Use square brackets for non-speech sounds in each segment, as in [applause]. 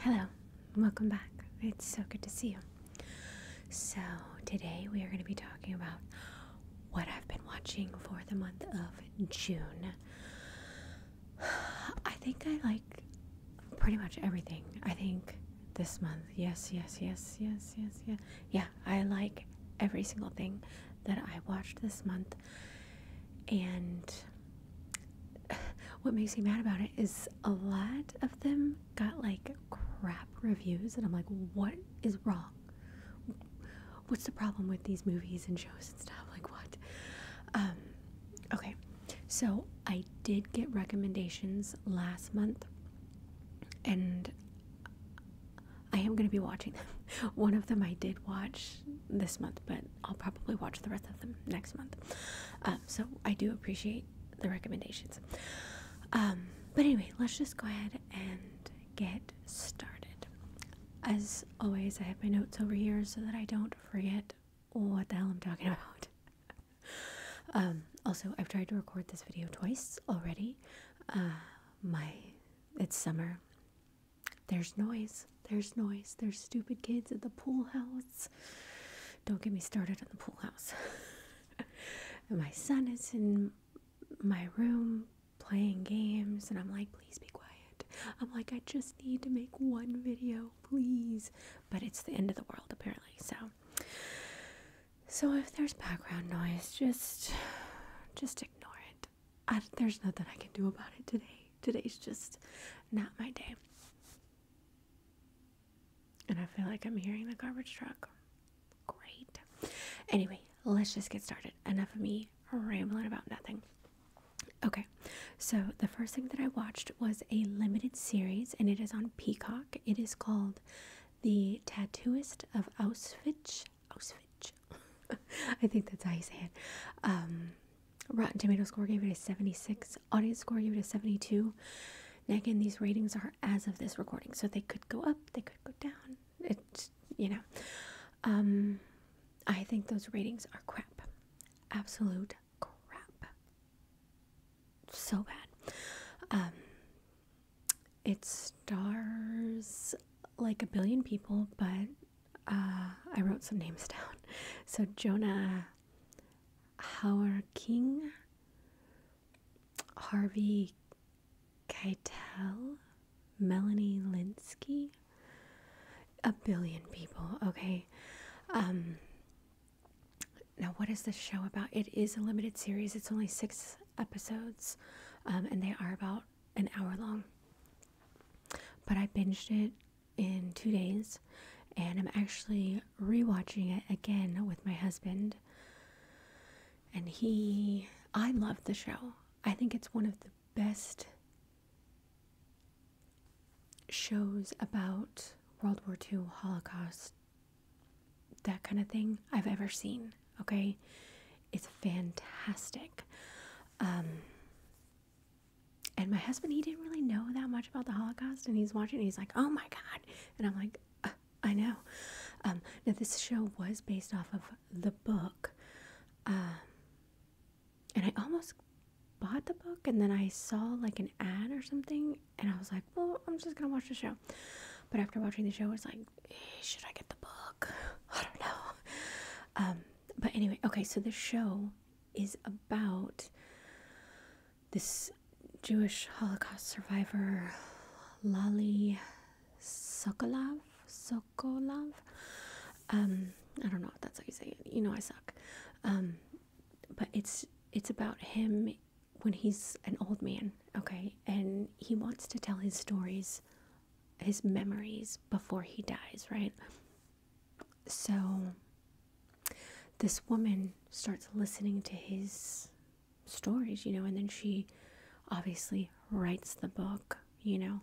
Hello, welcome back. It's so good to see you. So, today we are going to be talking about what I've been watching for the month of June. I think I like pretty much everything. I think this month, yes, yes, yes, yes, yes, yeah. Yeah, I like every single thing that I watched this month. And [sighs] what makes me mad about it is a lot of them got like crap reviews, and I'm like, what is wrong? What's the problem with these movies and shows and stuff? Like, what? Um, okay, so I did get recommendations last month, and I am going to be watching them. [laughs] One of them I did watch this month, but I'll probably watch the rest of them next month. Um, so I do appreciate the recommendations. Um, but anyway, let's just go ahead and get started. As always, I have my notes over here so that I don't forget what the hell I'm talking [laughs] about. Um, also, I've tried to record this video twice already. Uh, my it's summer. There's noise. There's noise. There's stupid kids at the pool house. Don't get me started on the pool house. [laughs] my son is in my room playing games, and I'm like, please be quiet. I'm like, I just need to make one video, please. But it's the end of the world, apparently. So so if there's background noise, just just ignore it. there's nothing I can do about it today. Today's just not my day. And I feel like I'm hearing the garbage truck. Great. Anyway, let's just get started. Enough of me rambling about nothing. Okay, so the first thing that I watched was a limited series, and it is on Peacock. It is called The Tattooist of Auschwitz Auschwitz. Oh, [laughs] I think that's how you say it. Um, Rotten Tomatoes score gave it a 76. Audience score gave it a 72. Now again, these ratings are as of this recording, so they could go up, they could go down. It, you know, um, I think those ratings are crap, absolute crap, so bad. Um, it stars like a billion people, but uh, I wrote some names [laughs] down. So Jonah Howard King, Harvey Keitel, Melanie Linsky, a billion people. Okay. Um, now, what is the show about? It is a limited series. It's only six episodes, um, and they are about an hour long. But I binged it in two days, and I'm actually rewatching it again with my husband. And he, I love the show. I think it's one of the best shows about World War II Holocaust that kind of thing I've ever seen. Okay, it's fantastic. Um, and my husband, he didn't really know that much about the Holocaust, and he's watching, he's like, "Oh my god!" And I'm like, uh, "I know." Um, now this show was based off of the book, um, and I almost bought the book, and then I saw like an ad or something, and I was like, "Well, I'm just gonna watch the show." But after watching the show, it's like, Eh, should I get the book? [laughs] I don't know. Um, but anyway, okay, so the show is about this Jewish Holocaust survivor, Lali Sokolov. Sokolov? Um, I don't know that's how you say it. You know I suck. Um, but it's it's about him when he's an old man, okay, and he wants to tell his stories, his memories before he dies, right? So this woman starts listening to his stories, you know, and then she obviously writes the book, you know.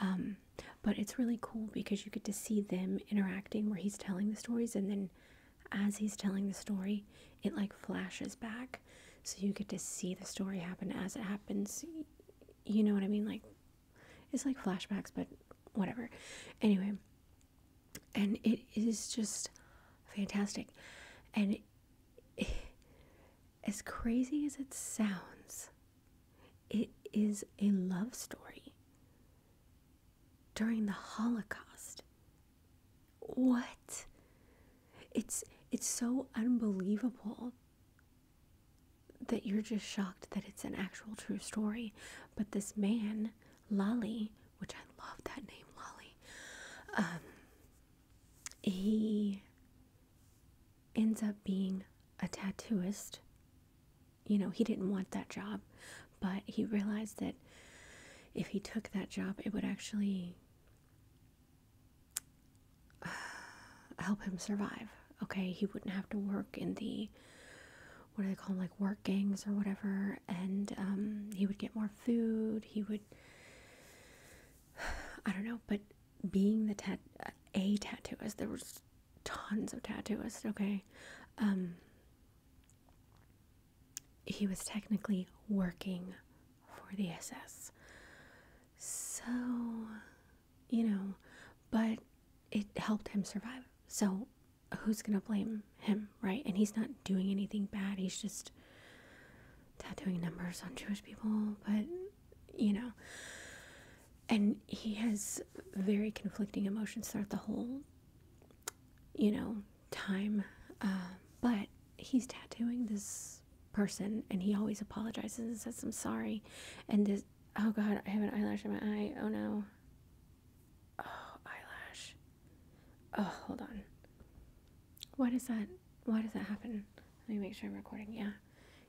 Um, but it's really cool because you get to see them interacting where he's telling the stories and then as he's telling the story it like flashes back so you get to see the story happen as it happens you know what i mean like it's like flashbacks but whatever anyway and it is just fantastic and [sighs] as crazy as it sounds it is a love story during the holocaust what? It's it's so unbelievable that you're just shocked that it's an actual true story. But this man, Lolly, which I love that name, Lolly, um, he ends up being a tattooist. You know, he didn't want that job, but he realized that if he took that job, it would actually [sighs] help him survive. Okay, he wouldn't have to work in the what do they call them, like work gangs or whatever, and um, he would get more food. He would, [sighs] I don't know, but being the tat a tattooist, there was tons of tattooists. Okay, um, he was technically working for the SS. So, you know, but it helped him survive. So, who's going to blame him, right? And he's not doing anything bad. He's just tattooing numbers on Jewish people, but, you know. And he has very conflicting emotions throughout the whole, you know, time, uh, but he's tattooing this person, and he always apologizes and says, "I'm sorry," and this. Oh God, I have an eyelash in my eye. Oh no. Oh eyelash. Oh, hold on. Why does that? Why does that happen? Let me make sure I'm recording. Yeah.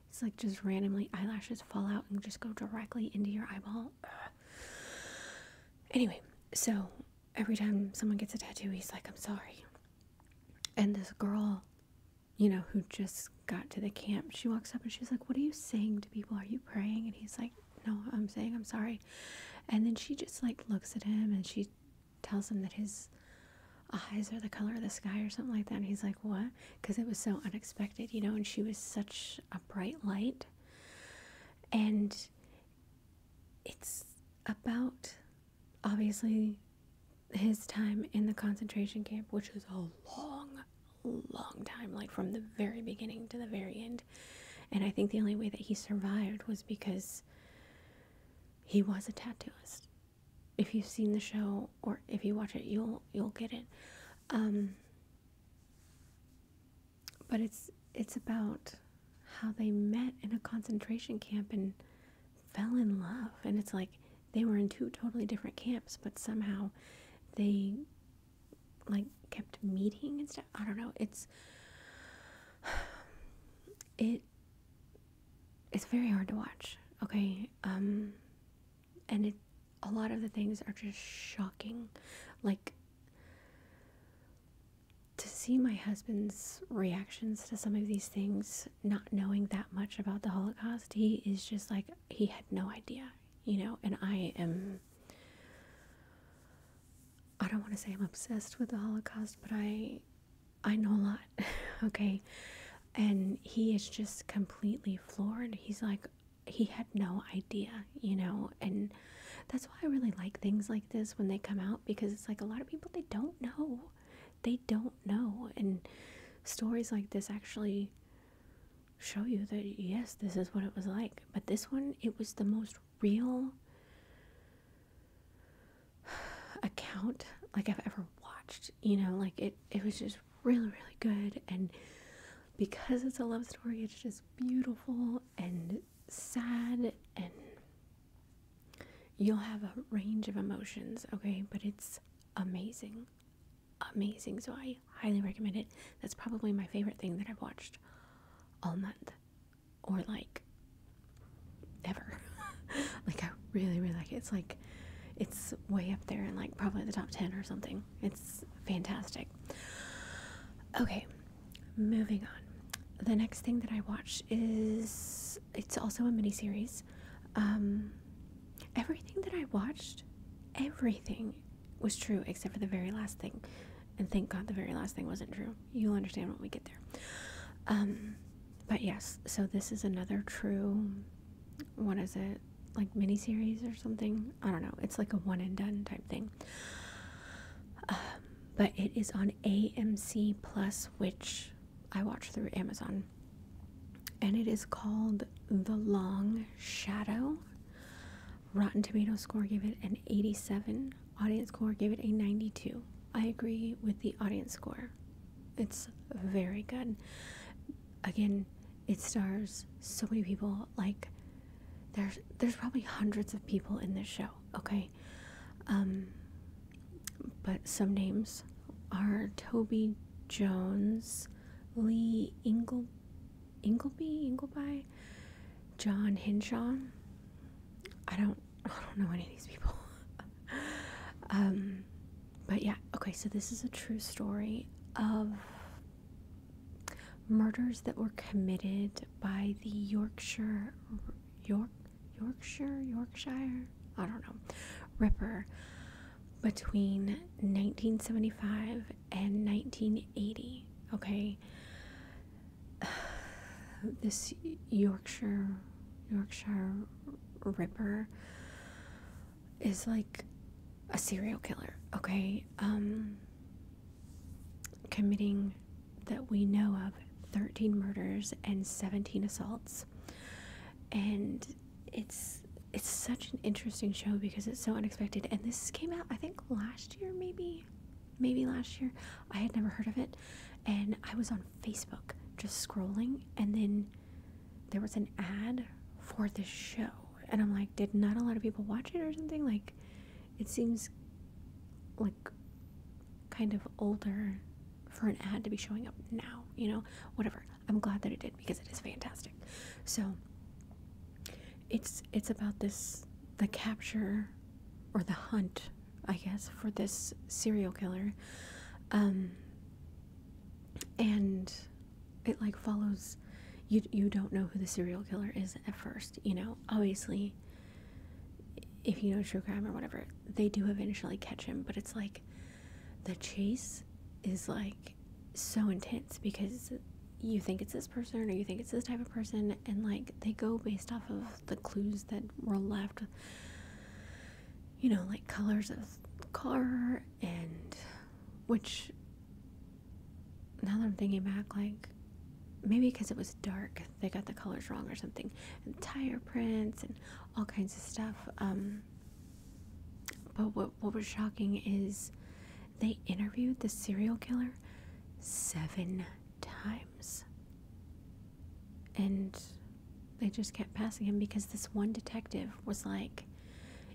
It's like just randomly eyelashes fall out and just go directly into your eyeball. Anyway, so every time someone gets a tattoo, he's like, I'm sorry. And this girl, you know, who just got to the camp, she walks up and she's like, What are you saying to people? Are you praying? And he's like, No, I'm saying I'm sorry. And then she just like looks at him and she tells him that his eyes are the color of the sky or something like that. And he's like, What? Because it was so unexpected, you know, and she was such a bright light. And it's about obviously his time in the concentration camp, which was a long, long time, like from the very beginning to the very end. And I think the only way that he survived was because he was a tattooist. If you've seen the show or if you watch it, you'll you'll get it. Um, but it's it's about how they met in a concentration camp and fell in love. And it's like they were in two totally different camps, but somehow they like kept meeting and stuff. I don't know. It's [sighs] it it's very hard to watch. Okay. Um and it a lot of the things are just shocking. Like to see my husband's reactions to some of these things, not knowing that much about the Holocaust, he is just like, he had no idea, you know, and I am. I don't want to say I'm obsessed with the Holocaust, but I I know a lot. [laughs] okay. And he is just completely floored. He's like he had no idea, you know, and that's why I really like things like this when they come out because it's like a lot of people they don't know. They don't know. And stories like this actually show you that yes, this is what it was like. But this one, it was the most real [sighs] account like I've ever watched. You know, like it it was just really, really good and because it's a love story, it's just beautiful and sad and you'll have a range of emotions, okay? But it's amazing. Amazing. So I highly recommend it. That's probably my favorite thing that I've watched all month or like ever. [laughs] like I really really like it. It's like it's way up there in like probably the top 10 or something. It's fantastic. Okay, Moving on. The next thing that I watch is it's also a miniseries. Um, everything that I watched, everything was true except for the very last thing. And thank God the very last thing wasn't true. You'll understand when we get there. Um, but yes, so this is another true, what is it? Like miniseries or something? I don't know. It's like a one and done type thing. Um, but it is on AMC Plus, which I watch through Amazon. And it is called The Long Shadow. Rotten Tomatoes score gave it an 87. Audience score gave it a 92. I agree with the audience score. It's very good. Again, it stars so many people. Like, there's there's probably hundreds of people in this show. Okay, um, but some names are Toby Jones, Lee Ingle, Ingleby, Ingleby, John Henshaw. I don't, [laughs] I don't know any of these people. [laughs] Um, but yeah, okay. So this is a true story of murders that were committed by the Yorkshire York, Yorkshire, Yorkshire, I don't know, Ripper between 1975 and 1980. Okay, [sighs] this Yorkshire, Yorkshire Ripper is like a serial killer. Okay, um, committing that we know of 13 murders and 17 assaults and it's it's such an interesting show because it's so unexpected and this came out i think last year maybe maybe last year i had never heard of it and i was on facebook just scrolling and then there was an ad for this show and i'm like did not a lot of people watch it or something like it seems like kind of older for an ad to be showing up now, you know, whatever. I'm glad that it did because it is fantastic. So it's it's about this the capture or the hunt, I guess, for this serial killer. Um and it like follows you you don't know who the serial killer is at first, you know. Obviously if you know true crime or whatever, they do eventually catch him, but it's like the chase is like so intense because you think it's this person or you think it's this type of person and like they go based off of the clues that were left you know like colors of the car and which now that i'm thinking back like maybe because it was dark they got the colors wrong or something, and tire prints and all kinds of stuff. Um, but what was shocking is they interviewed the serial killer seven times, and they just kept passing him because this one detective was like,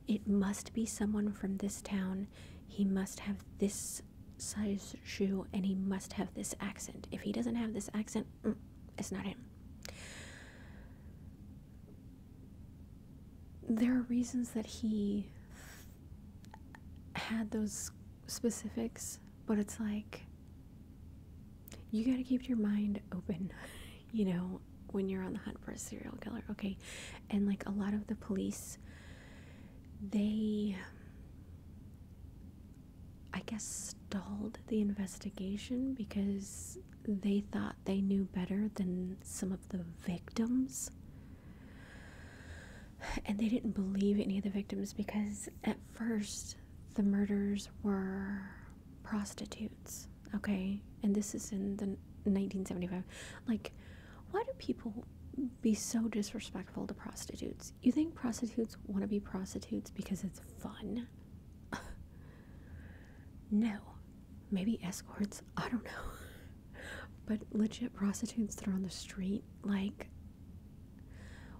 "It must be someone from this town. He must have this size shoe and he must have this accent. If he doesn't have this accent, mm, it's not him. There are reasons that he had those specifics, but it's like you gotta keep your mind open, [laughs] you know, when you're on the hunt for a serial killer. Okay, and like a lot of the police, they I guess, stalled the investigation because they thought they knew better than some of the victims. And they didn't believe any of the victims because at first the murders were prostitutes, okay? And this is in the 1975. Like, why do people be so disrespectful to prostitutes? You think prostitutes want to be prostitutes because it's fun? [laughs] no. Maybe escorts, I don't know. [laughs] but legit prostitutes that are on the street, like,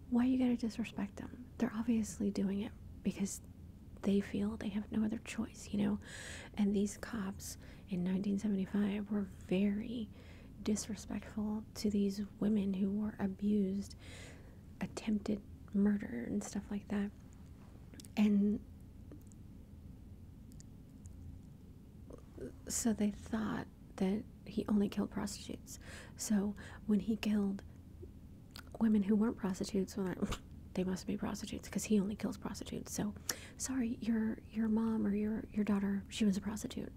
why you gotta disrespect them? They're obviously doing it because they feel they have no other choice, you know? And these cops in 1975 were very disrespectful to these women who were abused, attempted murder, and stuff like that. And so they thought that he only killed prostitutes. So when he killed women who weren't prostitutes, [laughs] they must be prostitutes because he only kills prostitutes. So, sorry, your your mom or your your daughter, she was a prostitute.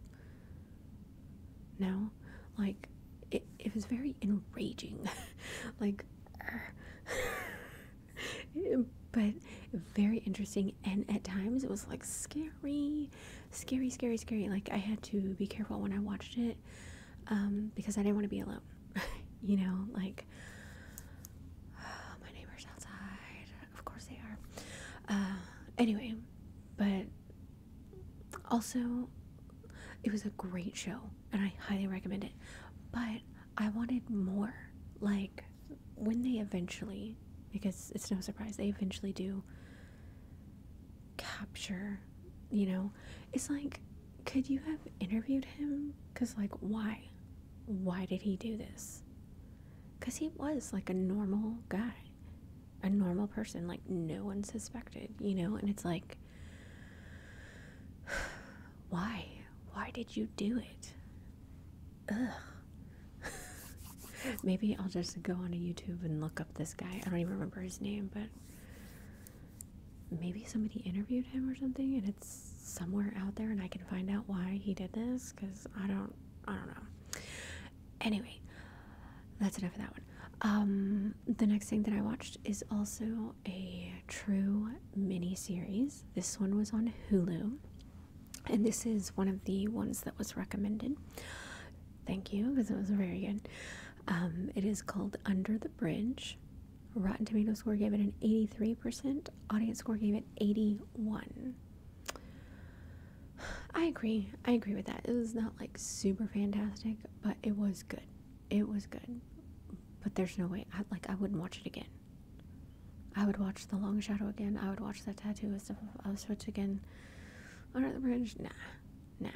No? Like, it, it was very enraging. [laughs] like, [laughs] but very interesting. And at times it was like scary, scary, scary, scary. Like, I had to be careful when I watched it um, because I didn't want to be alone. [laughs] you know, like, [sighs] my neighbor's outside. Of course they are. Uh, anyway, but also, it was a great show and I highly recommend it. But I wanted more. Like, when they eventually, because it's no surprise, they eventually do capture, you know, it's like, could you have interviewed him? Because, like, why? Why did he do this? Because he was like a normal guy, a normal person, like no one suspected, you know? And it's like, [sighs] why? Why did you do it? Ugh. [laughs] Maybe I'll just go on YouTube and look up this guy. I don't even remember his name, but maybe somebody interviewed him or something and it's somewhere out there and I can find out why he did this cuz I don't I don't know. Anyway, that's enough of that one. Um, the next thing that I watched is also a true mini series. This one was on Hulu, and this is one of the ones that was recommended. Thank you, because it was very good. Um, it is called Under the Bridge. Rotten Tomatoes score gave it an 83%, audience score gave it 81. I agree. I agree with that. It was not like super fantastic, but it was good. It was good. But there's no way. I, like I wouldn't watch it again. I would watch The Long Shadow again. I would watch that tattoo of stuff of Switch again. Under the Bridge, nah, nah.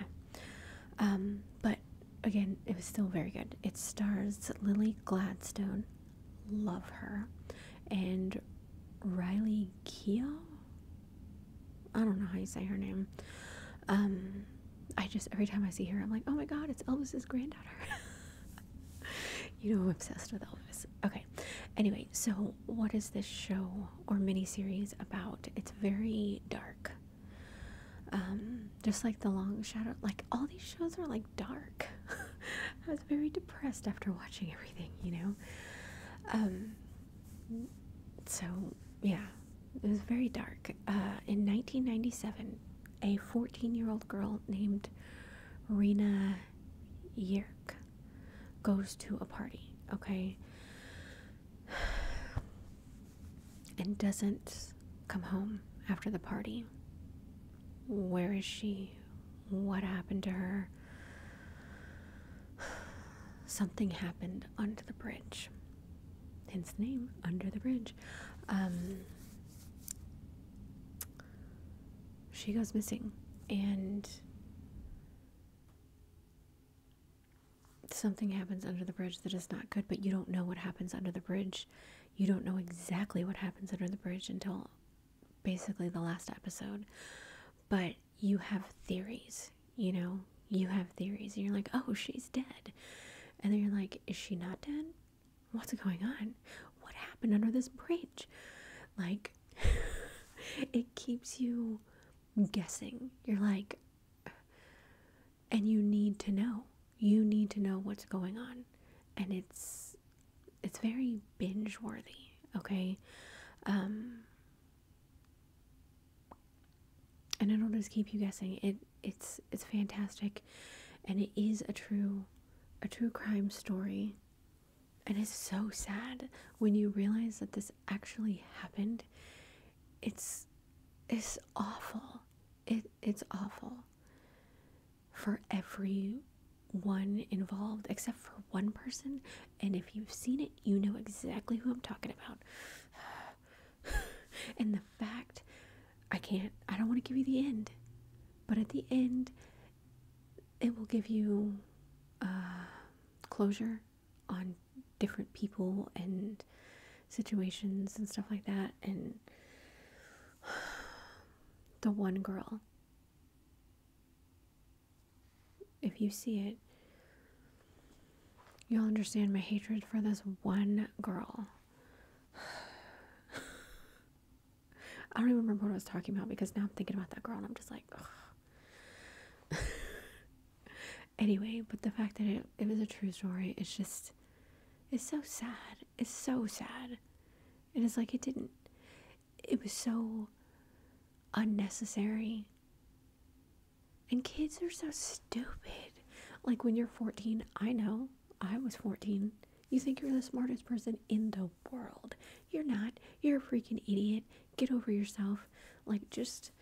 Um, but again, it was still very good. It stars Lily Gladstone. Love her. And Riley Keough. I don't know how you say her name. Um, I just every time I see her, I'm like, oh my god, it's Elvis's granddaughter. [laughs] you know, I'm obsessed with Elvis. Okay. Anyway, so what is this show or miniseries about? It's very dark. Um, just like the long shadow, like all these shows are like dark. [laughs] I was very depressed after watching everything, you know. Um, so, yeah, it was very dark. Uh, in 1997, a 14 year old girl named Rena Yerk goes to a party, okay? [sighs] And doesn't come home after the party. Where is she? What happened to her? Something happened under the bridge. Hence the name, Under the Bridge. Um, she goes missing, and something happens under the bridge that is not good, but you don't know what happens under the bridge. You don't know exactly what happens under the bridge until basically the last episode, but you have theories, you know, you have theories, and you're like, oh, she's dead. And then you're like, is she not dead? What's going on? What happened under this bridge? Like, [laughs] it keeps you guessing. You're like, and you need to know. You need to know what's going on. And it's it's very binge worthy okay um, and it'll just keep you guessing it it's it's fantastic and it is a true a true crime story and it's so sad when you realize that this actually happened it's it's awful it it's awful for everyone involved except for one person. And if you've seen it, you know exactly who I'm talking about. [sighs] and the fact I can't, I don't want to give you the end, but at the end, it will give you uh, closure on different people and situations and stuff like that. And [sighs] the one girl if you see it, you'll understand my hatred for this one girl. [sighs] I don't even remember what I was talking about because now I'm thinking about that girl and I'm just like, ugh. [laughs] anyway, but the fact that it, it was a true story, it's just, it's so sad. It's so sad. It is like it didn't, it was so unnecessary. And kids are so stupid. Like when you're 14, I know, I was 14. You think you're the smartest person in the world. You're not. You're a freaking idiot. Get over yourself. Like, just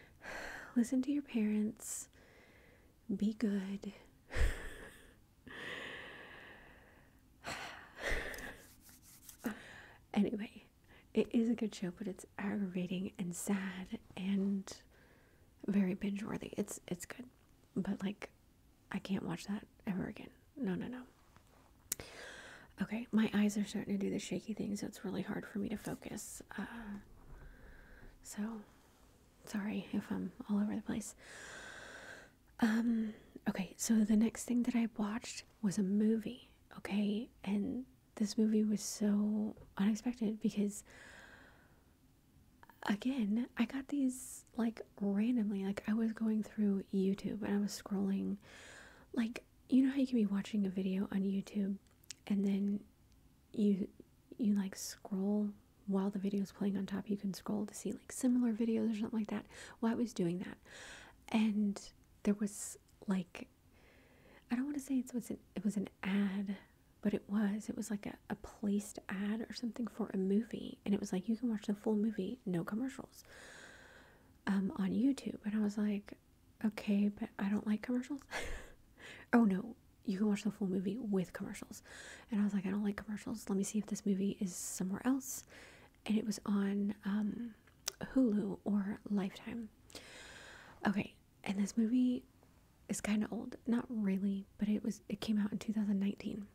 [sighs] listen to your parents. Be good. [laughs] anyway, it is a good show, but it's aggravating and sad and very binge worthy. It's it's good, but like I can't watch that ever again. No, no, no. Okay, my eyes are starting to do the shaky thing, so it's really hard for me to focus. Uh, so, sorry if I'm all over the place. Um, okay, so the next thing that I watched was a movie, okay? And this movie was so unexpected because again, I got these like randomly. Like I was going through YouTube and I was scrolling like you know how you can be watching a video on YouTube and then you you like scroll while the video is playing on top, you can scroll to see like similar videos or something like that that while I was doing that. And there was like, I don't want to say it was an, ad, but it was. It was like a, placed ad or something for a movie. And it was like, you can watch the full movie, no commercials um, on YouTube. And I was like, okay, but I don't like commercials. [laughs] oh no, you can watch the full movie with commercials. And I was like, I don't like commercials. Let me see if this movie is somewhere else and it was on um, Hulu or Lifetime. Okay, and this movie is kind of old, not really, but it was it came out in 2019.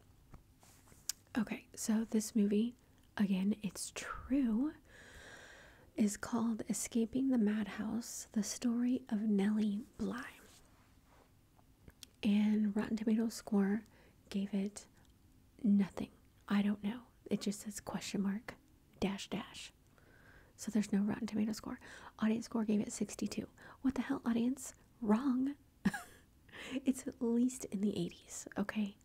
Okay, so this movie, again, it's true, is called Escaping the Madhouse The Story of Nellie Bly and Rotten Tomatoes score gave it nothing. I don't know. It just says question mark dash dash. So there's no Rotten Tomatoes score. Audience score gave it 62. What the hell, audience? Wrong. [laughs] it's at least in the 80s, okay?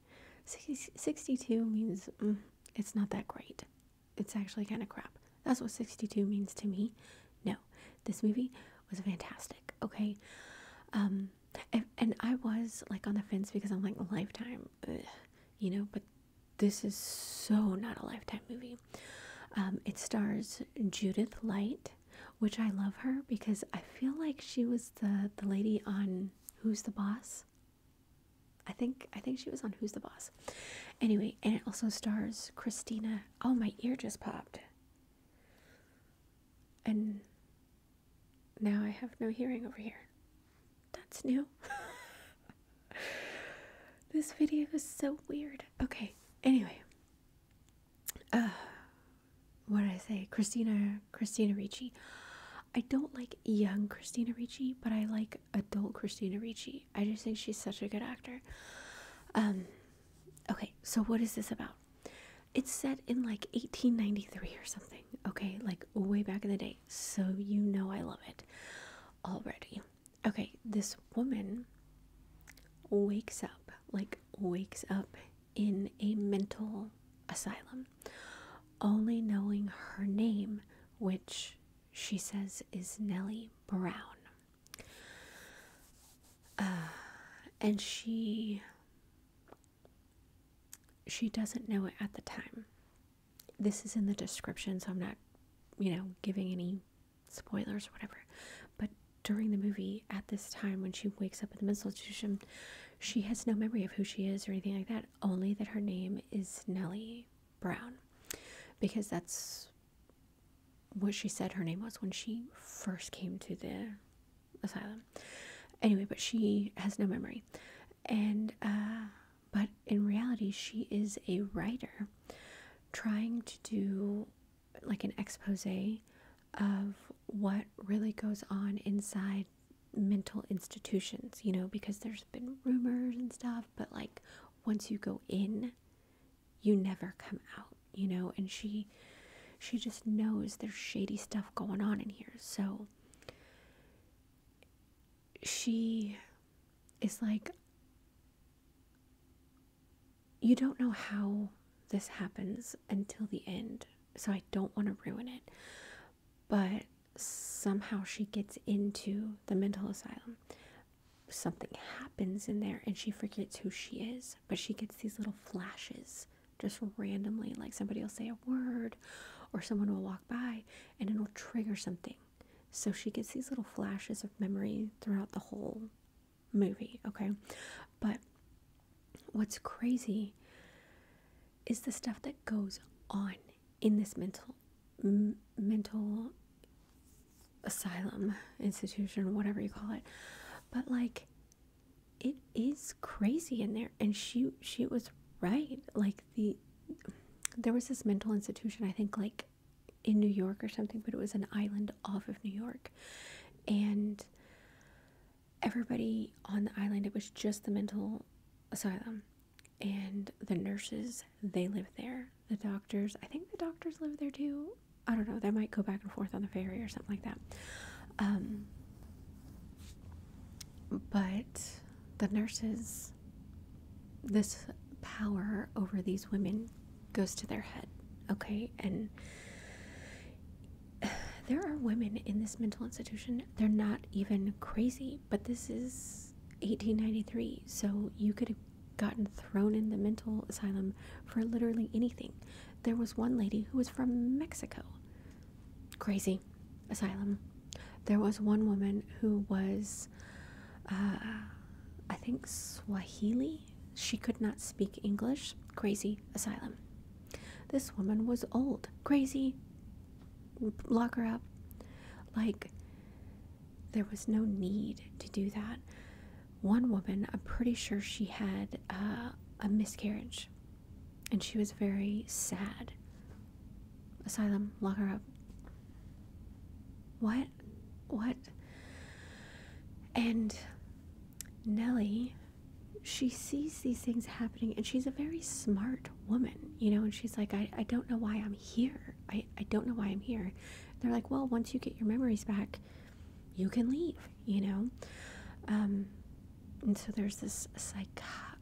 62 means mm, it's not that great. It's actually kind of crap. That's what 62 means to me. No, this movie was fantastic, okay? Um, and, I was like on the fence because I'm like lifetime, you know, but this is so not a lifetime movie. Um, it stars Judith Light, which I love her because I feel like she was the the lady on Who's the Boss. I think I think she was on Who's the Boss. Anyway, and it also stars Christina. Oh, my ear just popped. And now I have no hearing over here. That's new. [laughs] this video is so weird. Okay, anyway. Uh, what did I say? Christina, Christina Ricci. I don't like young Christina Ricci, but I like adult Christina Ricci. I just think she's such a good actor. Um, okay, so what is this about? It's set in like 1893 or something, okay? Like way back in the day. So you know I love it already. Okay, this woman wakes up, like wakes up in a mental asylum, only knowing her name, which she says is Nellie Brown. Uh, and she she doesn't know it at the time. This is in the description, so I'm not, you know, giving any spoilers or whatever. But during the movie, at this time, when she wakes up in the mental institution, she has no memory of who she is or anything like that, only that her name is Nellie Brown. Because that's what she said her name was when she first came to the asylum. Anyway, but she has no memory. And, uh, but in reality, she is a writer trying to do like an expose of what really goes on inside mental institutions, you know, because there's been rumors and stuff, but like once you go in, you never come out you know, and she she just knows there's shady stuff going on in here. So she is like you don't know how this happens until the end. So I don't want to ruin it. But somehow she gets into the mental asylum. Something happens in there and she forgets who she is, but she gets these little flashes just randomly like somebody will say a word or someone will walk by and it'll trigger something so she gets these little flashes of memory throughout the whole movie okay but what's crazy is the stuff that goes on in this mental mental asylum institution whatever you call it but like it is crazy in there and she she was right like the there was this mental institution i think like in new york or something but it was an island off of new york and everybody on the island it was just the mental asylum and the nurses they live there the doctors i think the doctors live there too I don't know, they might go back and forth on the ferry or something like that. Um, but the nurses, this power over these women goes to their head, okay? And [sighs] there are women in this mental institution, they're not even crazy, but this is 1893, so you could have gotten thrown in the mental asylum for literally anything. There was one lady who was from Mexico. Crazy asylum. There was one woman who was, uh, I think, Swahili. She could not speak English. Crazy asylum. This woman was old. Crazy. Lock her up. Like, there was no need to do that one woman, I'm pretty sure she had uh, a miscarriage and she was very sad. Asylum, lock her up. What? What? And Nellie, she sees these things happening and she's a very smart woman, you know, and she's like, I, I don't know why I'm here. I, I don't know why I'm here. they're like, well, once you get your memories back, you can leave you know um, and so there's this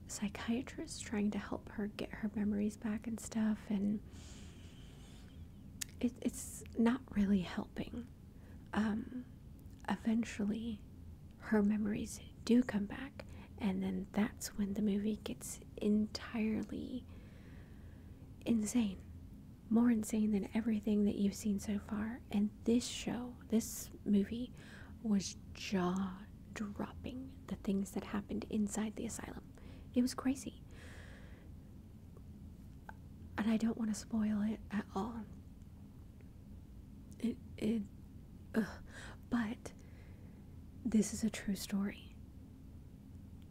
psychiatrist trying to help her get her memories back and stuff and it's not really helping um, eventually her memories do come back and then that's when the movie gets entirely insane more insane than everything that you've seen so far. And this show, this movie, was jaw dropping the things that happened inside the asylum. It was crazy. And I don't want to spoil it at all. It, it, But this is a true story.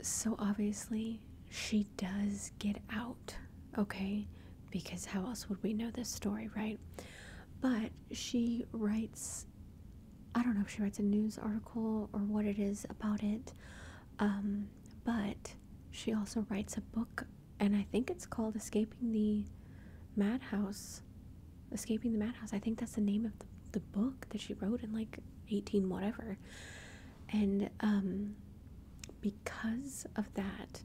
So obviously, she does get out, okay? Because how else would we know this story, right? But she writes, I don't know if she writes a news article or what it is about it, um, but she also writes a book, and I think it's called Escaping the Madhouse. Escaping the Madhouse. I think that's the name of the book that she wrote in like 18 whatever and um, because of that,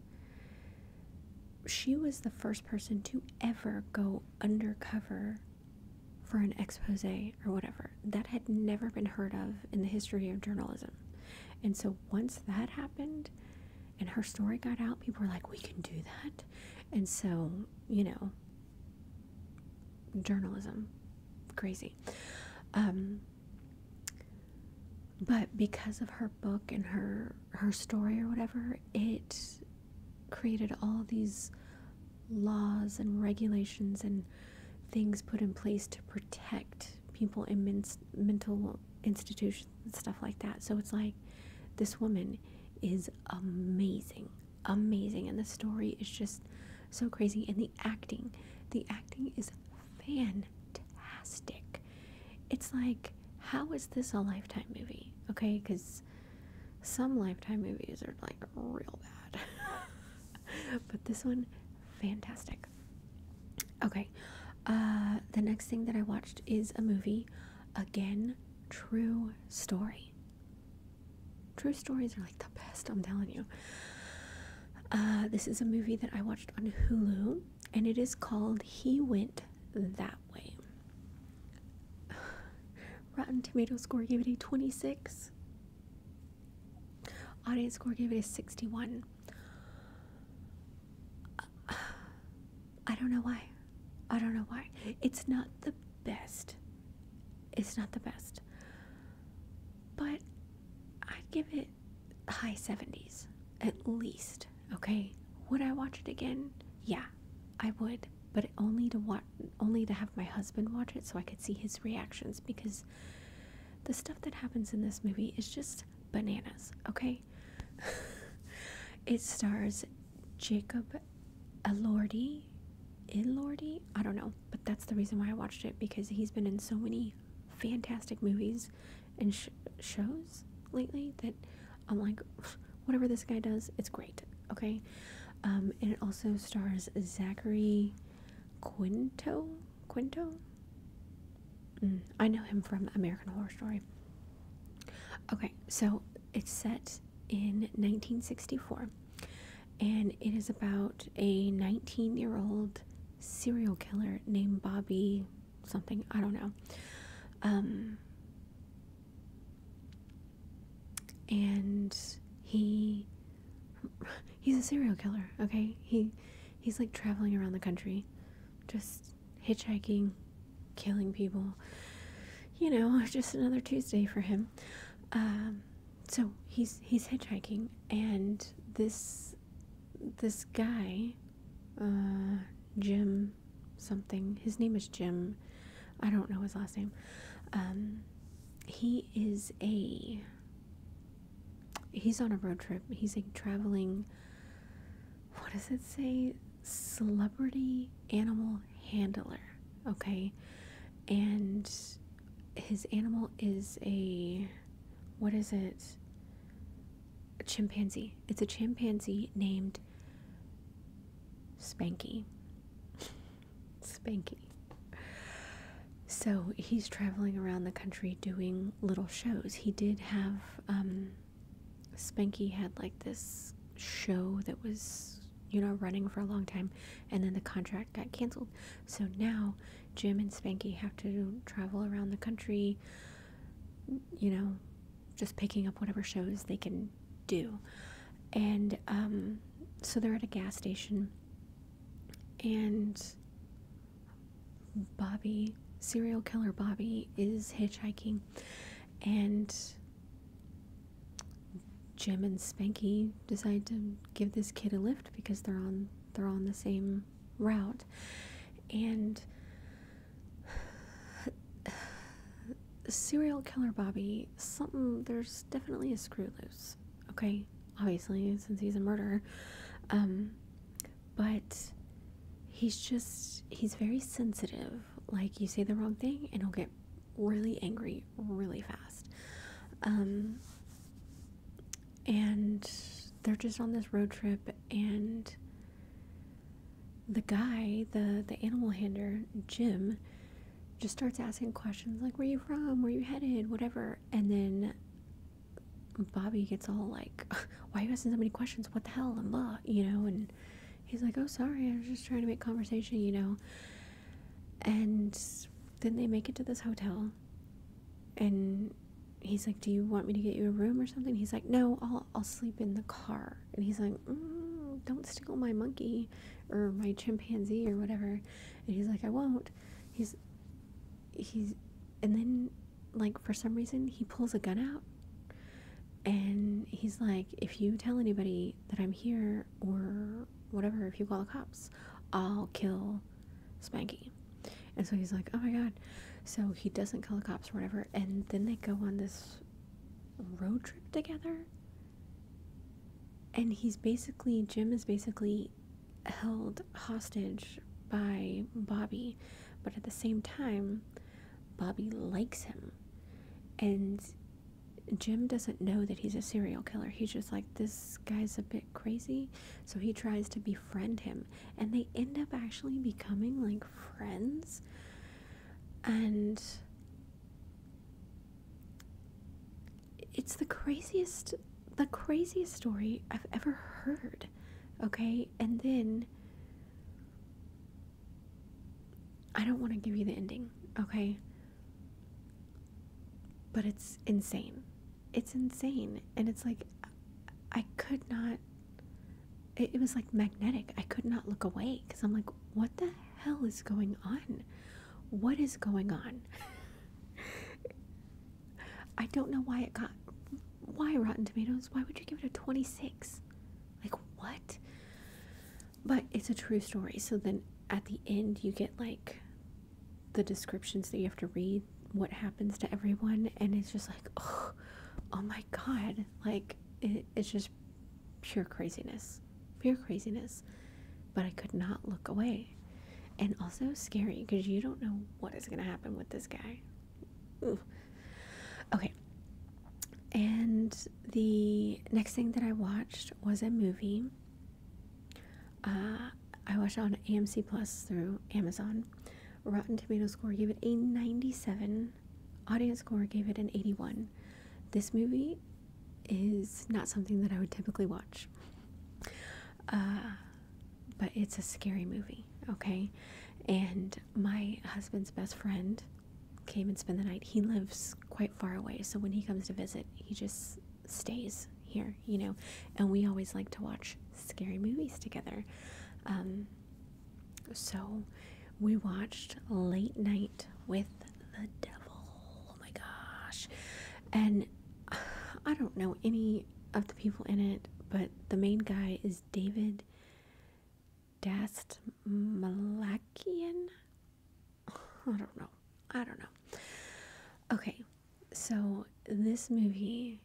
she was the first person to ever go undercover for an expose or whatever. That had never been heard of in the history of journalism. And so once that happened and her story got out, people were like, we can do that. And so, you know, journalism, crazy. Um, but because of her book and her her story or whatever it created all these laws and regulations and things put in place to protect people in mental institutions and stuff like that so it's like this woman is amazing amazing and the story is just so crazy and the acting the acting is fantastic. It's like, how is this a lifetime movie? Okay, because some lifetime movies are like real bad. [laughs] but this one, fantastic. Okay, uh, the next thing that I watched is a movie. Again, true story. True stories are like the best, I'm telling you. Uh, this is a movie that I watched on Hulu, and it is called He Went That Way. [sighs] Rotten Tomatoes score gave it a 26. Audience score gave it a 61. [sighs] I don't know why. I don't know why. It's not the best. It's not the best. But I'd give it high 70s at least okay would i watch it again yeah i would but only to watch only to have my husband watch it so i could see his reactions because the stuff that happens in this movie is just bananas okay [laughs] it stars jacob elordi elordi i don't know but that's the reason why i watched it because he's been in so many fantastic movies and shows lately that I'm like, [sighs] whatever this guy does, it's great. Okay, um, and it also stars Zachary Quinto. Quinto. Mm, I know him from American Horror Story. Okay, so it's set in 1964, and it is about a 19 year old serial killer named Bobby something, I don't know. Um, and he he's a serial killer, okay? He he's like traveling around the country just hitchhiking, killing people. You know, [laughs] just another Tuesday for him. Um, so he's he's hitchhiking and this this guy, uh, Jim something. His name is Jim. I don't know his last name. Um, he is a he's on a road trip. He's a traveling what does it say? Celebrity animal handler. Okay. And his animal is a what is it? A chimpanzee. It's a chimpanzee named Spanky. [laughs] Spanky. So he's traveling around the country doing little shows. He did have, um, Spanky had like this show that was, you know, running for a long time, and then the contract got canceled. So now Jim and Spanky have to travel around the country, you know, just picking up whatever shows they can do. And um, so they're at a gas station, and Bobby, serial killer Bobby, is hitchhiking, and Jim and Spanky decide to give this kid a lift because they're on they're on the same route and serial killer bobby something there's definitely a screw loose okay obviously since he's a murderer um, but he's just he's very sensitive like you say the wrong thing and he'll get really angry really fast um, and they're just on this road trip and the guy the the animal handler jim just starts asking questions like where you from where you headed whatever and then bobby gets all like [laughs] why are you asking so many questions what the hell and blah you know and he's like oh sorry i was just trying to make conversation you know and then they make it to this hotel and he's like, "Do you want me to get you a room or something?" He's like, "No, I'll I'll sleep in the car." And he's like, mm, "Don't steal my monkey or my chimpanzee or whatever." And he's like, "I won't." He's he's and then like for some reason he pulls a gun out and he's like, "If you tell anybody that I'm here or whatever, if you call the cops, I'll kill Spanky. And so he's like, oh my god. So he doesn't call the cops or whatever. And then they go on this road trip together. And he's basically, Jim is basically held hostage by Bobby. But at the same time, Bobby likes him. And Jim doesn't know that he's a serial killer. He's just like, this guy's a bit crazy. So he tries to befriend him, and they end up actually becoming like friends. And it's the craziest, the craziest story I've ever heard. Okay, and then I don't want to give you the ending, okay? But it's insane it's insane and it's like i could not it, was like magnetic i could not look away because i'm like what the hell is going on what is going on [laughs] i don't know why it got why rotten tomatoes why would you give it a 26 like what but it's a true story so then at the end you get like the descriptions that you have to read what happens to everyone and it's just like oh, oh my god like it's just pure craziness pure craziness but i could not look away and also scary because you don't know what is going to happen with this guy okay and the next thing that i watched was a movie uh, I watched on AMC Plus through Amazon. Rotten Tomatoes score gave it a 97. Audience score gave it an 81. This movie is not something that I would typically watch. Uh, but it's a scary movie, okay? And my husband's best friend came and spent the night. He lives quite far away, so when he comes to visit, he just stays here, you know. And we always like to watch scary movies together. Um, so we watched Late Night with the Devil. Oh my gosh. And [sighs] I don't know any of the people in it, but the main guy is David Dastmalakian. I don't know. I don't know. Okay, so this movie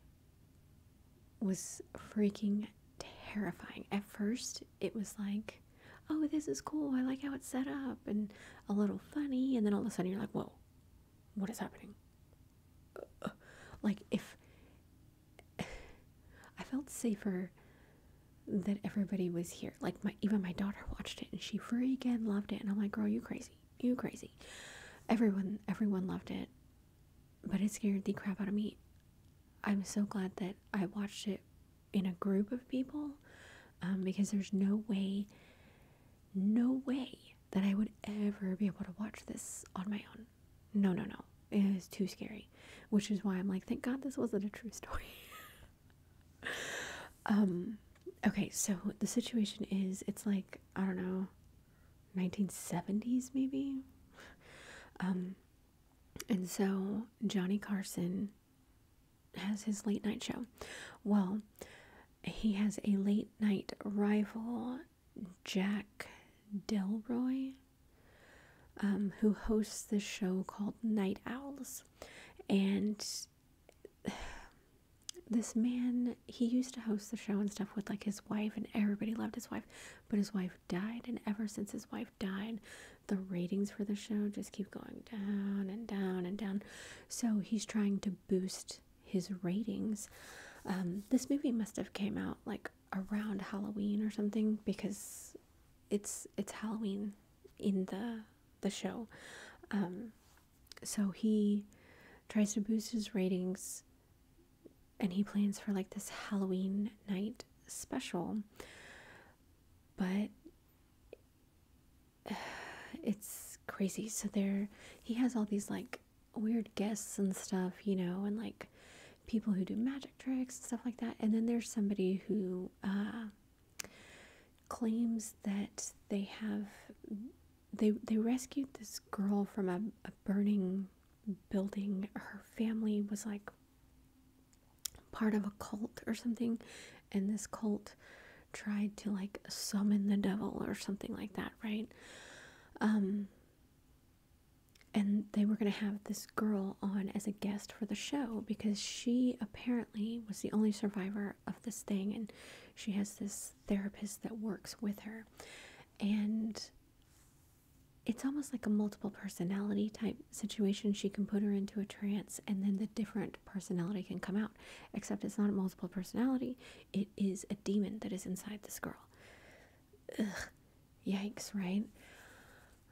was freaking terrifying. At first, it was like, oh, this is cool. I like how it's set up and a little funny. And then all of a sudden, you're like, whoa, what is happening? like, if [sighs] I felt safer that everybody was here, like, my even my daughter watched it and she freaking loved it. And I'm like, girl, you crazy you crazy. Everyone, everyone loved it, but it scared the crap out of me. I'm so glad that I watched it in a group of people um, because there's no way, no way that I would ever be able to watch this on my own. No, no, no. It is too scary, which is why I'm like, thank God this wasn't a true [laughs] story. Um, okay, so the situation is it's like, I don't know, 1970s maybe? Um, and so Johnny Carson has his late night show. Well, he has a late night rival, Jack Delroy, um, who hosts this show called Night Owls. And [sighs] this man he used to host the show and stuff with like his wife and everybody loved his wife but his wife died and ever since his wife died the ratings for the show just keep going down and down and down so he's trying to boost his ratings um, this movie must have came out like around halloween or something because it's it's halloween in the the show um, so he tries to boost his ratings and he plans for like this Halloween night special. But [sighs] it's crazy. So there he has all these like weird guests and stuff, you know, and like people who do magic tricks and stuff like that. And then there's somebody who uh, claims that they have they they rescued this girl from a, burning building. Her family was like part of a cult or something, and this cult tried to like summon the devil or something like that, right? Um and they were going to have this girl on as a guest for the show because she apparently was the only survivor of this thing and she has this therapist that works with her and it's almost like a multiple personality type situation she can put her into a trance and then the different personality can come out except it's not a multiple personality it is a demon that is inside this girl Ugh, yikes right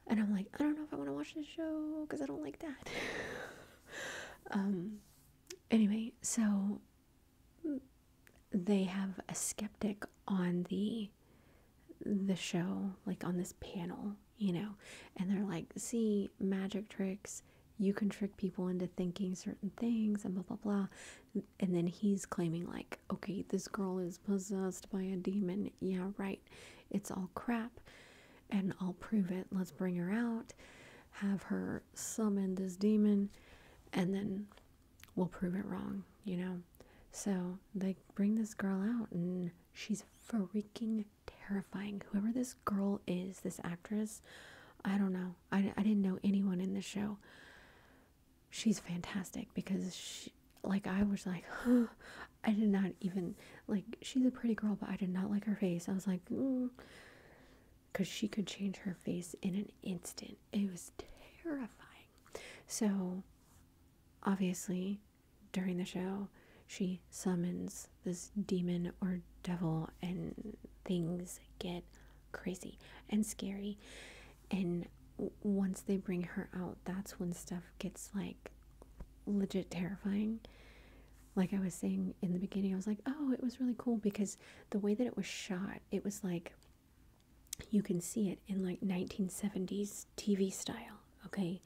and i'm like i don't know if i want to watch this show because i don't like that [laughs] um, anyway, so they have a skeptic on the the show, like on this panel, you know, and they're like, see, magic tricks, you can trick people into thinking certain things and blah blah blah. And then he's claiming like, okay, this girl is possessed by a demon. Yeah, right. It's all crap and I'll prove it. Let's bring her out, have her summon this demon, and then we'll prove it wrong, you know? So they bring this girl out, and she's freaking terrifying. Whoever this girl is, this actress, I don't know. I, I didn't know anyone in the show. She's fantastic because she, like, I was like, [gasps] I did not even like she's a pretty girl, but I did not like her face. I was like, because mm. she could change her face in an instant. It was terrifying. So obviously, during the show, she summons this demon or devil, and things get crazy and scary. And once they bring her out, that's when stuff gets like legit terrifying like I was saying in the beginning, I was like, oh, it was really cool because the way that it was shot, it was like you can see it in like 1970s TV style, okay?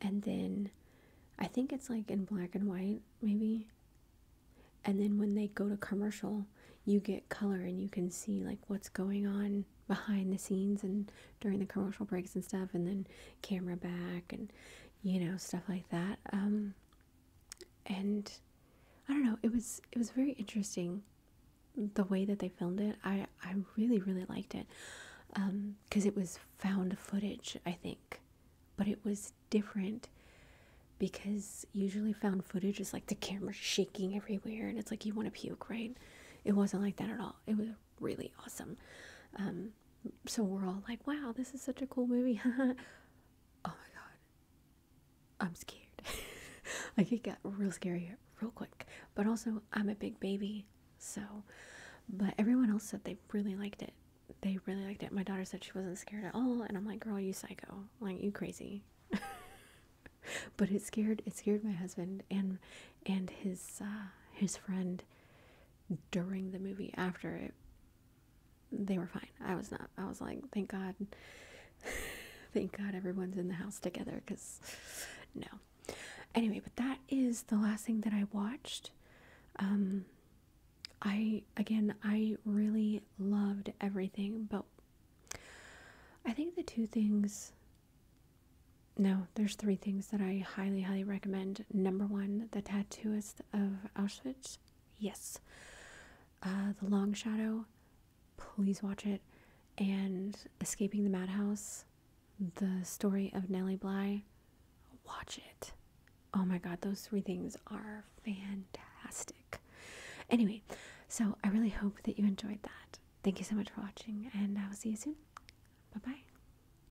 And then I think it's like in black and white, maybe. And then when they go to commercial, you get color and you can see like what's going on behind the scenes and during the commercial breaks and stuff, and then camera back, and you know, stuff like that. Um, and I don't know, it was it was very interesting the way that they filmed it. I I really really liked it because um, it was found footage, I think, but it was different because usually found footage is like the camera shaking everywhere and it's like you want to puke, right? It wasn't like that at all. It was really awesome. Um, so we're all like, wow, this is such a cool movie. [laughs] oh my god. I'm scared. [laughs] like it got real scary real quick. But also I'm a big baby, so but everyone else said they really liked it. They really liked it. My daughter said she wasn't scared at all, and I'm like, girl, you psycho. Why aren't you crazy. [laughs] but it scared it scared my husband and and his uh his friend during the movie after it they were fine i was not i was like thank god [laughs] thank god everyone's in the house together because no anyway but that is the last thing that i watched um, i again i really loved everything but i think the two things no there's three things that I highly, highly recommend. Number one, the tattooist of Auschwitz. Yes. Uh, the Long Shadow. Please watch it. And Escaping the Madhouse. The story of Nellie Bly. Watch it. Oh my God, those three things are fantastic. Anyway, so I really hope that you enjoyed that. Thank you so much for watching, and I will see you soon. Bye bye.